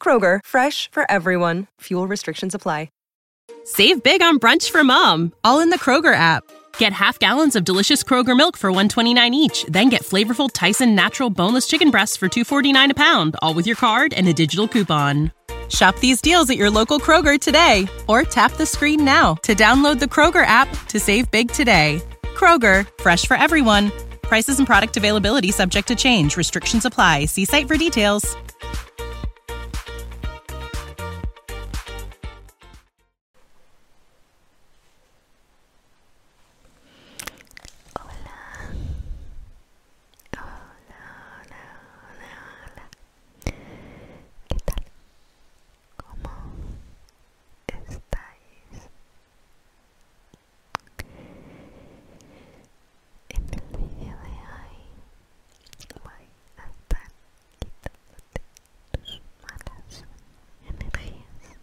Kroger, fresh for everyone. Fuel restrictions apply. Save big on brunch for mom, all in the Kroger app. Get half gallons of delicious Kroger milk for 129 each, then get flavorful Tyson natural boneless chicken breasts for 249 a pound, all with your card and a digital coupon. Shop these deals at your local Kroger today or tap the screen now to download the Kroger app to save big today. Kroger Fresh for everyone. Prices and product availability subject to change. Restrictions apply. See site for details. Hola. Hola, hola, hola, ¿Qué tal? ¿Cómo estáis? En el video de hoy voy a estar quitándote tus malas energías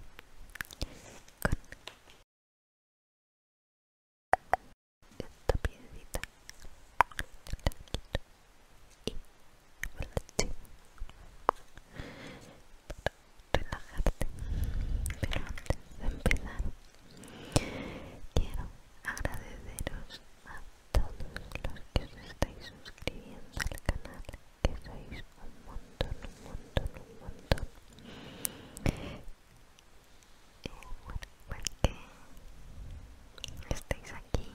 con esta piedrita relajarte. Pero antes de empezar, quiero agradeceros a todos los que os estáis suscribiendo al canal, que sois un montón, un montón, un montón. porque eh, bueno, pues que estéis aquí,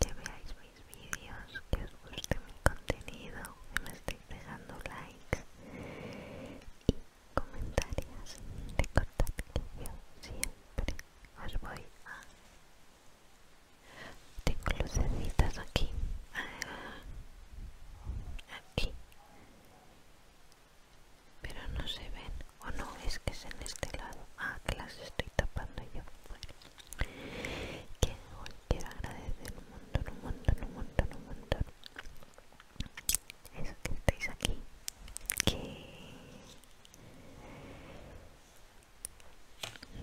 que veáis mis vídeos, que os guste mi contenido, que me estéis dejando likes comentarios, de que yo siempre os voy a... Tengo lucecitas aquí, aquí, pero no se ven, o no, es que es en este lado, ah, que las estoy tapando yo. que quiero agradecer un montón, un montón, un montón, un montón eso que estáis aquí que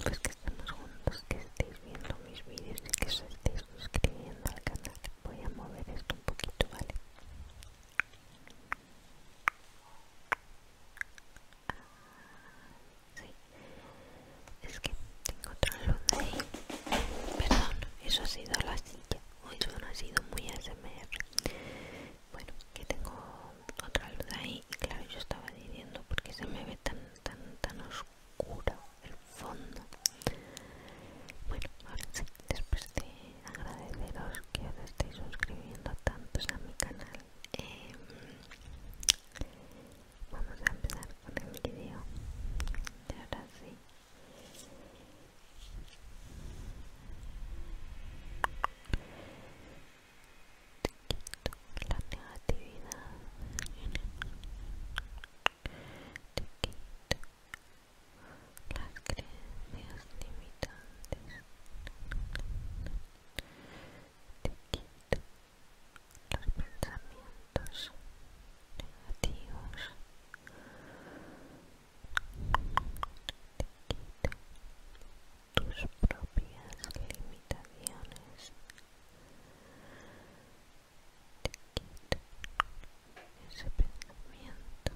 pues que estamos juntos que estéis viendo mis vídeos y que os estéis suscribiendo al canal voy a mover esto un poquito vale ah, sí es que tengo otra luz ahí perdón eso ha sido la silla hoy no ha sido muy ASMR bueno que tengo otra luz ahí y claro yo estaba diciendo porque se me ve tan tan tan oscuro el fondo bueno ahora sí después de agradeceros que os estéis suscribiendo tantos a mi canal em, vamos a empezar con el vídeo y ahora sí te quito la negatividad. Te quito las creencias limitantes. Te quito los pensamientos negativos te quita tus propias limitaciones te quita ese pensamiento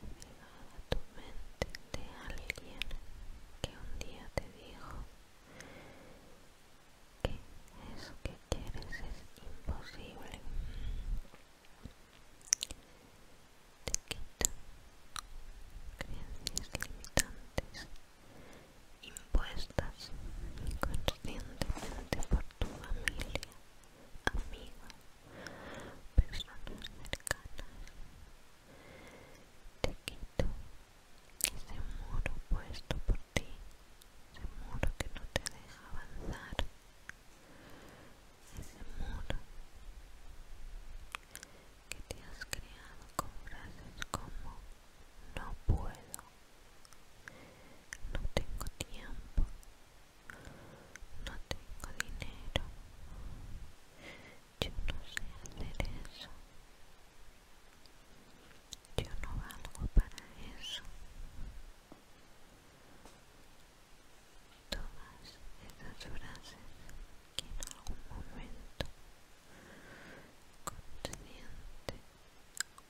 apegado a tu mente de alguien que un día te dijo que es que quieres es imposible. Te quito creencias limitantes impuestas inconscientemente por tu familia, amigos, personas cercanas. Te quito ese muro puesto por ti, ese muro que no te deja avanzar, ese muro que te has creado con frases como no puedo, no tengo tiempo, no tengo dinero, yo no sé hacer eso. Yo no valgo para eso. Todas esas frases que en algún momento, consciente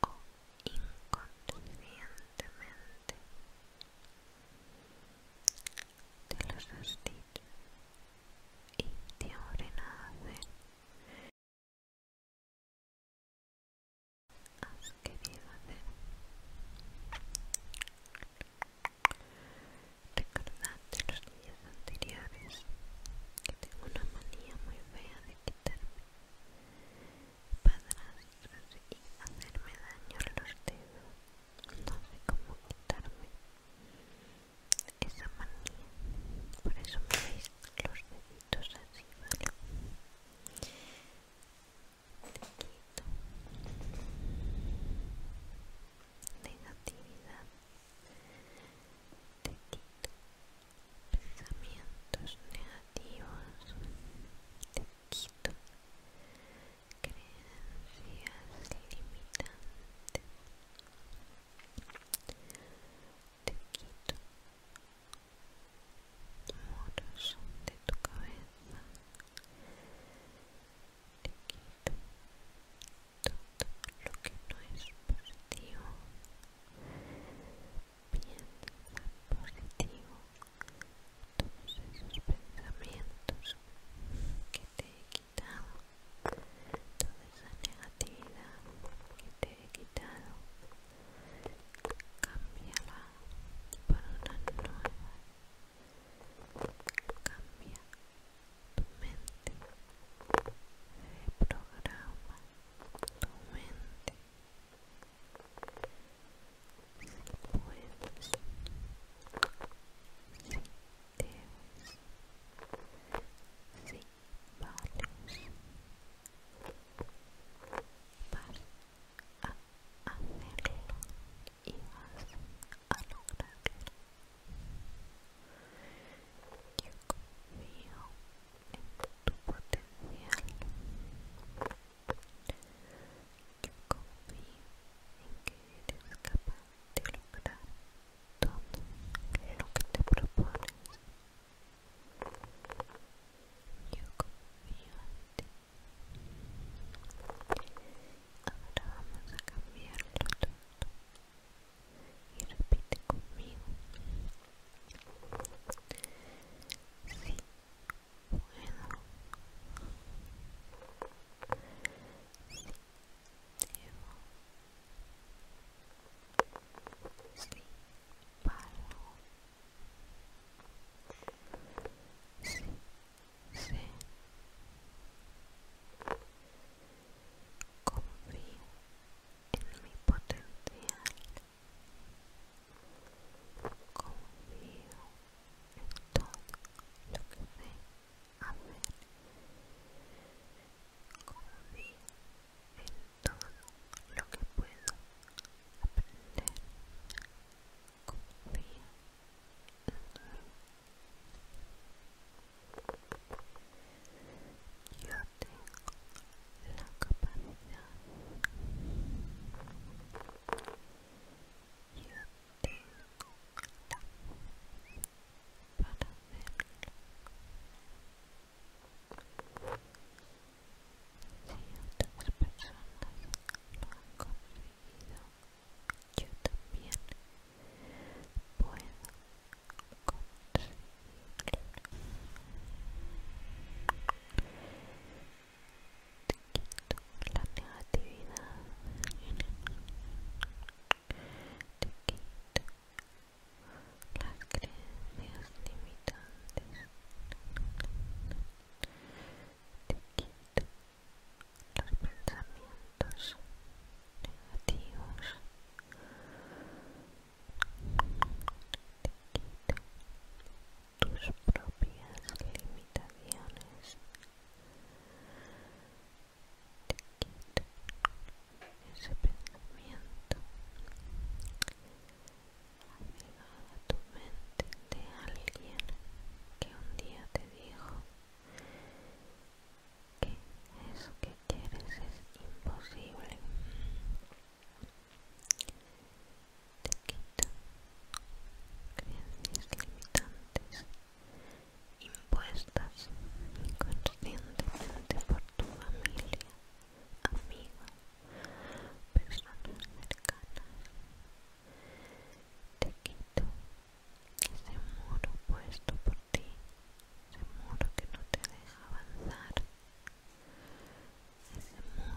o inconscientemente, te los has dicho y te a hacer has querido hacer. Recordad de los días anteriores que tengo una manía muy fea de quitarme para y hacerme daño a los dedos. No sé cómo quitarme esa manía, por eso me veis los dedos poquitos Te quito negatividad, te quito pensamientos negativos, te quito creencias limitantes, te quito muros de tu cabeza te quito todo lo que no es positivo piensa positivo todos esos pensamientos que te he quitado toda esa negatividad que te he quitado cámbiala por una nueva cambia tu mente reprograma tu mente si puedes si debes si vas a hacerlo y vas a lograrlo. Yo confío en tu potencial. Yo confío en que eres capaz de lograr todo lo que te propones. Yo confío en ti. Ahora vamos a cambiarlo todo. Y repite conmigo. Sí, puedo. Sí, debo. Sí, puedo sí, sí. confío en mi potencial confío en todo lo que sé hacer confío en todo lo que puedo aprender. Confía en mí. Yo tengo la capacidad. Yo tengo la para hacerlo. Si otras personas lo han conseguido, yo también puedo conseguirlo. Te quito la negatividad, te quito las creencias limitantes te quito los pensamientos negativos te quito tus propias limitaciones te quito ese pensamiento tu mente de alguien que un día te dijo que eso que quieres es imposible. Te quita creencias limitantes impuestas inconscientemente por tu familia, amigos personas cercanas. Te quito ese muro puesto por ti, ese muro que no te deja avanzar, ese muro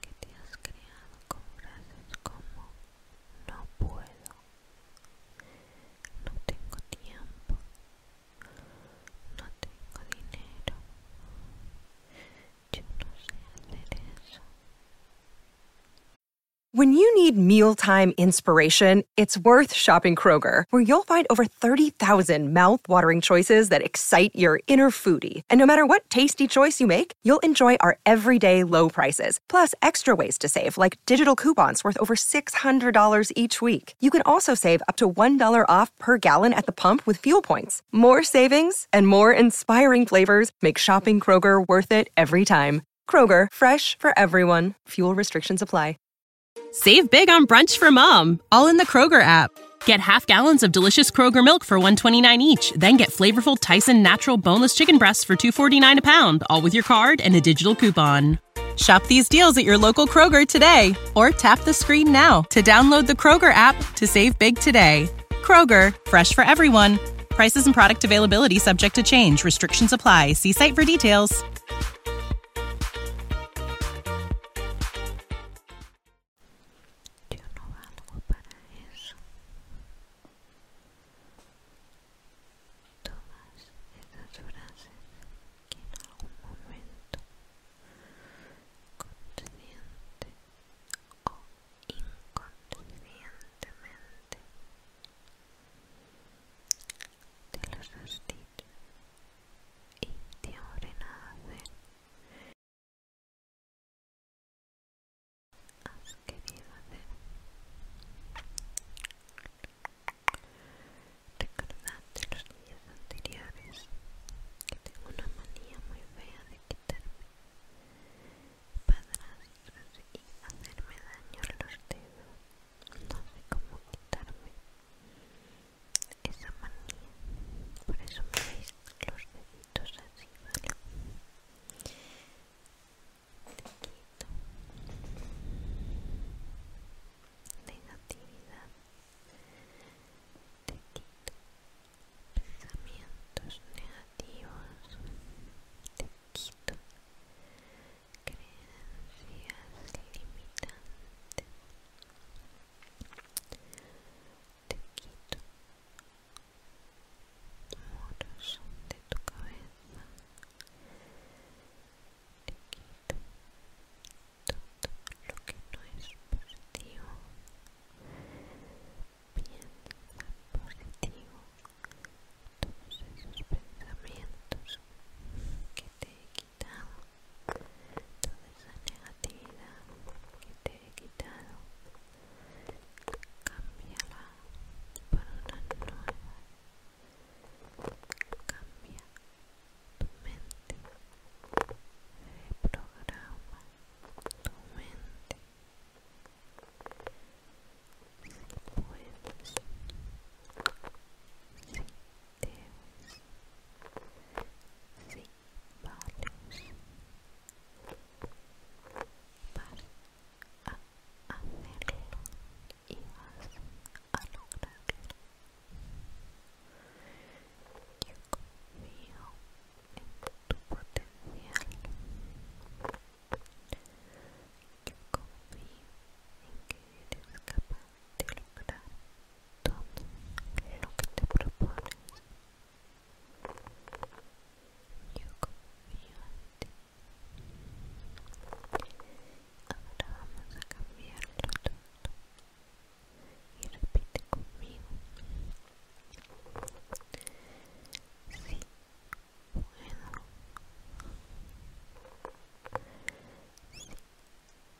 que te has creado con frases como no puedo, no tengo tiempo, When you need mealtime inspiration, it's worth shopping Kroger, where you'll find over 30,000 thousand mouth-watering choices that excite your inner foodie. And no matter what tasty choice you make, you'll enjoy our everyday low prices, plus extra ways to save, like digital coupons worth over $600 each week. You can also save up to $1 off per gallon at the pump with fuel points. More savings and more inspiring flavors make shopping Kroger worth it every time. Kroger, fresh for everyone. Fuel restrictions apply. Save big on brunch for mom, all in the Kroger app. Get half gallons of delicious Kroger milk for 129 each, then get flavorful Tyson natural boneless chicken breasts for 249 a pound, all with your card and a digital coupon. Shop these deals at your local Kroger today or tap the screen now to download the Kroger app to save big today. Kroger, fresh for everyone. Prices and product availability subject to change. Restrictions apply. See site for details. que en algún momento consciente o inconscientemente te los has dicho y te abren a hacer has querido hacer de los días anteriores que tengo una manía muy fea de quitarme padrastros y hacerme daño a los dedos no sé cómo quitarme esa manía por eso me veis los deditos así negatividad te quito pensamientos negativos te quito creencias limitantes te quito muros de tu cabeza te quito todo lo que no es positivo piensa positivo todos esos pensamientos que te he quitado toda esa negatividad que te he quitado cámbiala para una nueva Cambia tu mente. Reprograma tu mente. Si puedes, si debes, si vales, vas a hacerlo y vas a lograrlo. Yo confío en tu potencial. Yo confío en que eres capaz de lograr todo lo que te propones. Yo confío en ti ahora vamos a cambiar el todo y repite conmigo sí puedo sí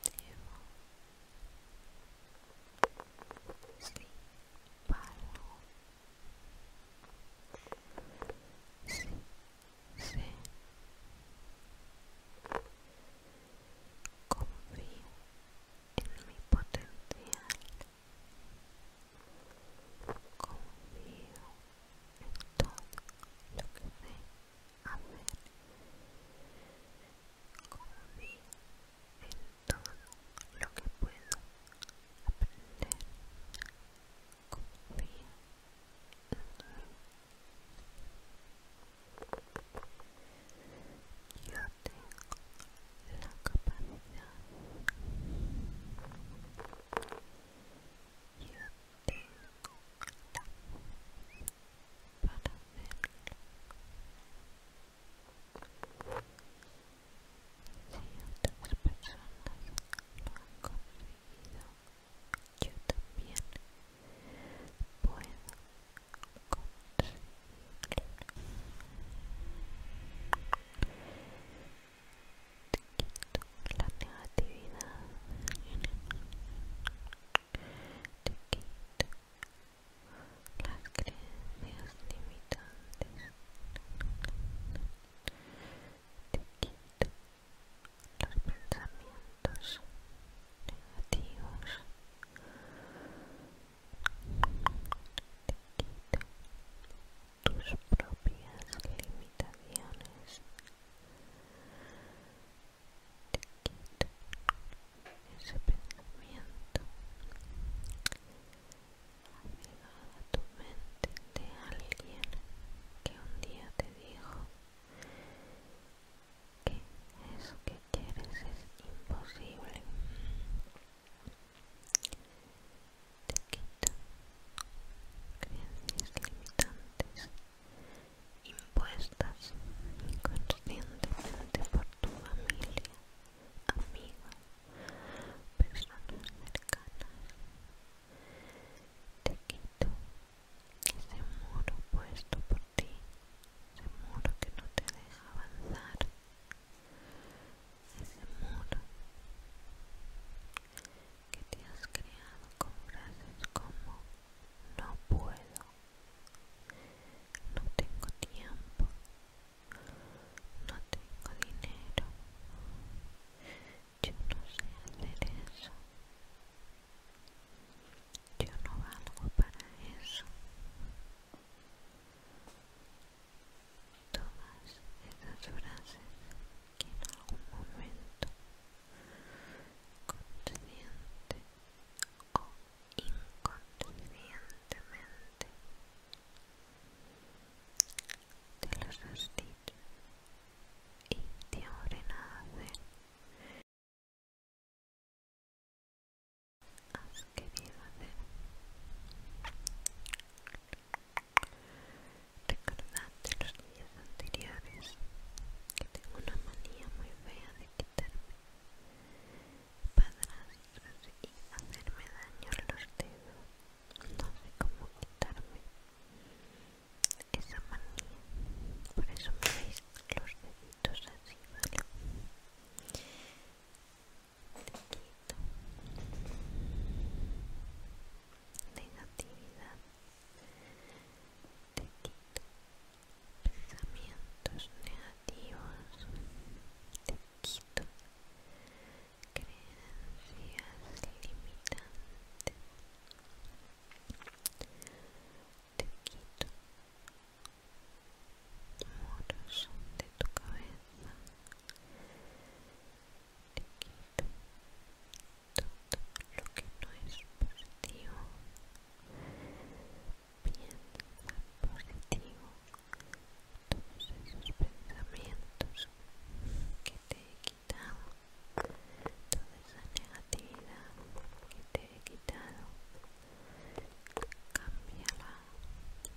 debo sí paro sí sé confío en mi potencial confío en todo lo que sé hacer confío en todo lo que puedo aprender confío yo tengo la capacidad. Yo tengo la para hacerlo. Si otras personas lo han conseguido, yo también puedo Te quito la negatividad. Te quito las creencias limitantes. Te quito los pensamientos negativos te quita tus propias limitaciones te ese pensamiento Amigado a tu mente de alguien que un día te dijo que eso que quieres es imposible. Te quito creencias limitantes impuestas inconscientemente por tu familia, amigos, personas cercanas. Te quito ese muro puesto por ti, ese muro que no te deja avanzar, ese muro que te has creado con frases como no puedo, no tengo tiempo, no tengo dinero, yo no sé hacer eso. Yo no valgo para eso. Todas esas frases que en algún momento, consciente o inconscientemente, te las has y te abren a hacer has querido hacer. Recordad los días anteriores que tengo una manía muy fea de quitarme padrastros y hacerme daño en los dedos. No sé cómo quitarme esa manía por eso me veis los deditos así vale te quito negatividad te quito pensamientos negativos te quito creencias limitantes te quito muros de tu cabeza te quito todo lo que no es positivo piensa positivo todos esos pensamientos que te he quitado toda esa negatividad que te he quitado cámbiala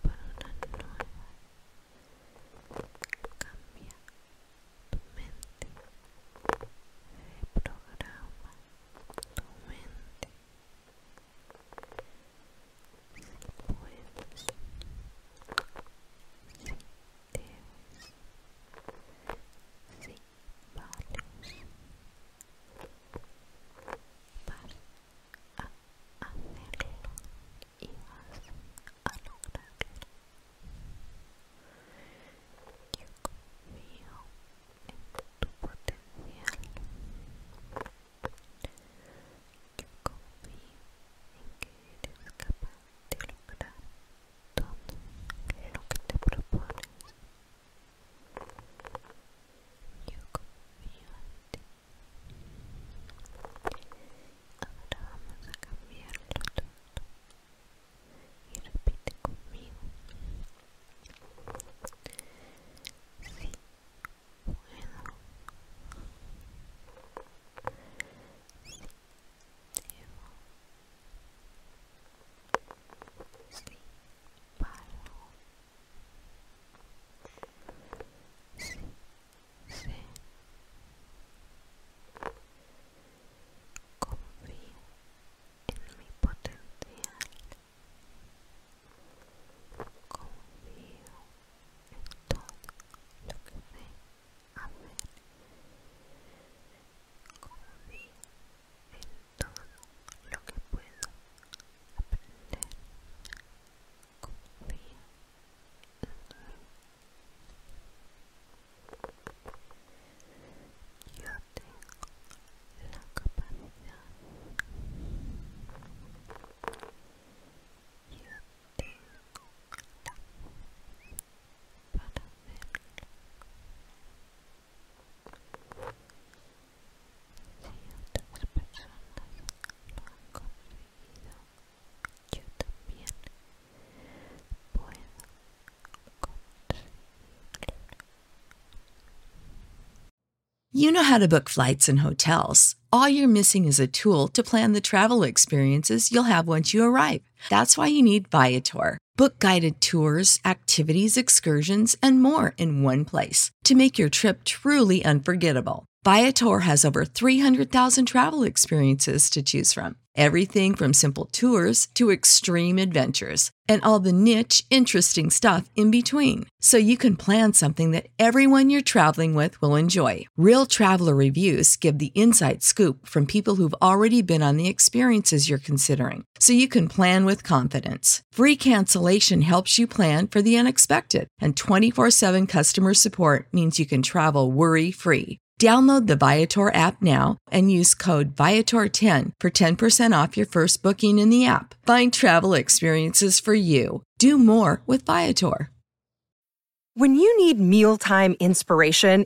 Para una nueva cambia tu mente reprograma tu mente si puedes si debes si vales vas a hacerlo y vas a lograrlo yo confío en tu potencial yo confío en que eres capaz de lograr todo lo que te propones yo confío en ti. Ahora vamos a cambiarlo todo. Y repite conmigo. Sí, puedo. Sí, debo sí, paro, sí, sé, confío en mi potencial, confío en todo lo que sé hacer, confío en todo lo que puedo aprender. Confía en mí. Yo tengo la capacidad. Yo tengo la para hacerlo. You know how to book flights and hotels. All you're missing is a tool to plan the travel experiences you'll have once you arrive. That's why you need Viator. Book guided tours, activities, excursions, and more in one place to make your trip truly unforgettable. Viator has over 300,000 travel experiences to choose from. Everything from simple tours to extreme adventures and all the niche, interesting stuff in between. So you can plan something that everyone you're traveling with will enjoy. Real traveler reviews give the inside scoop from people who've already been on the experiences you're considering so you can plan with confidence. Free cancellation helps you plan for the unexpected, and 24 7 customer support means you can travel worry free. Download the Viator app now and use code Viator10 for 10% off your first booking in the app. Find travel experiences for you. Do more with Viator. When you need mealtime inspiration,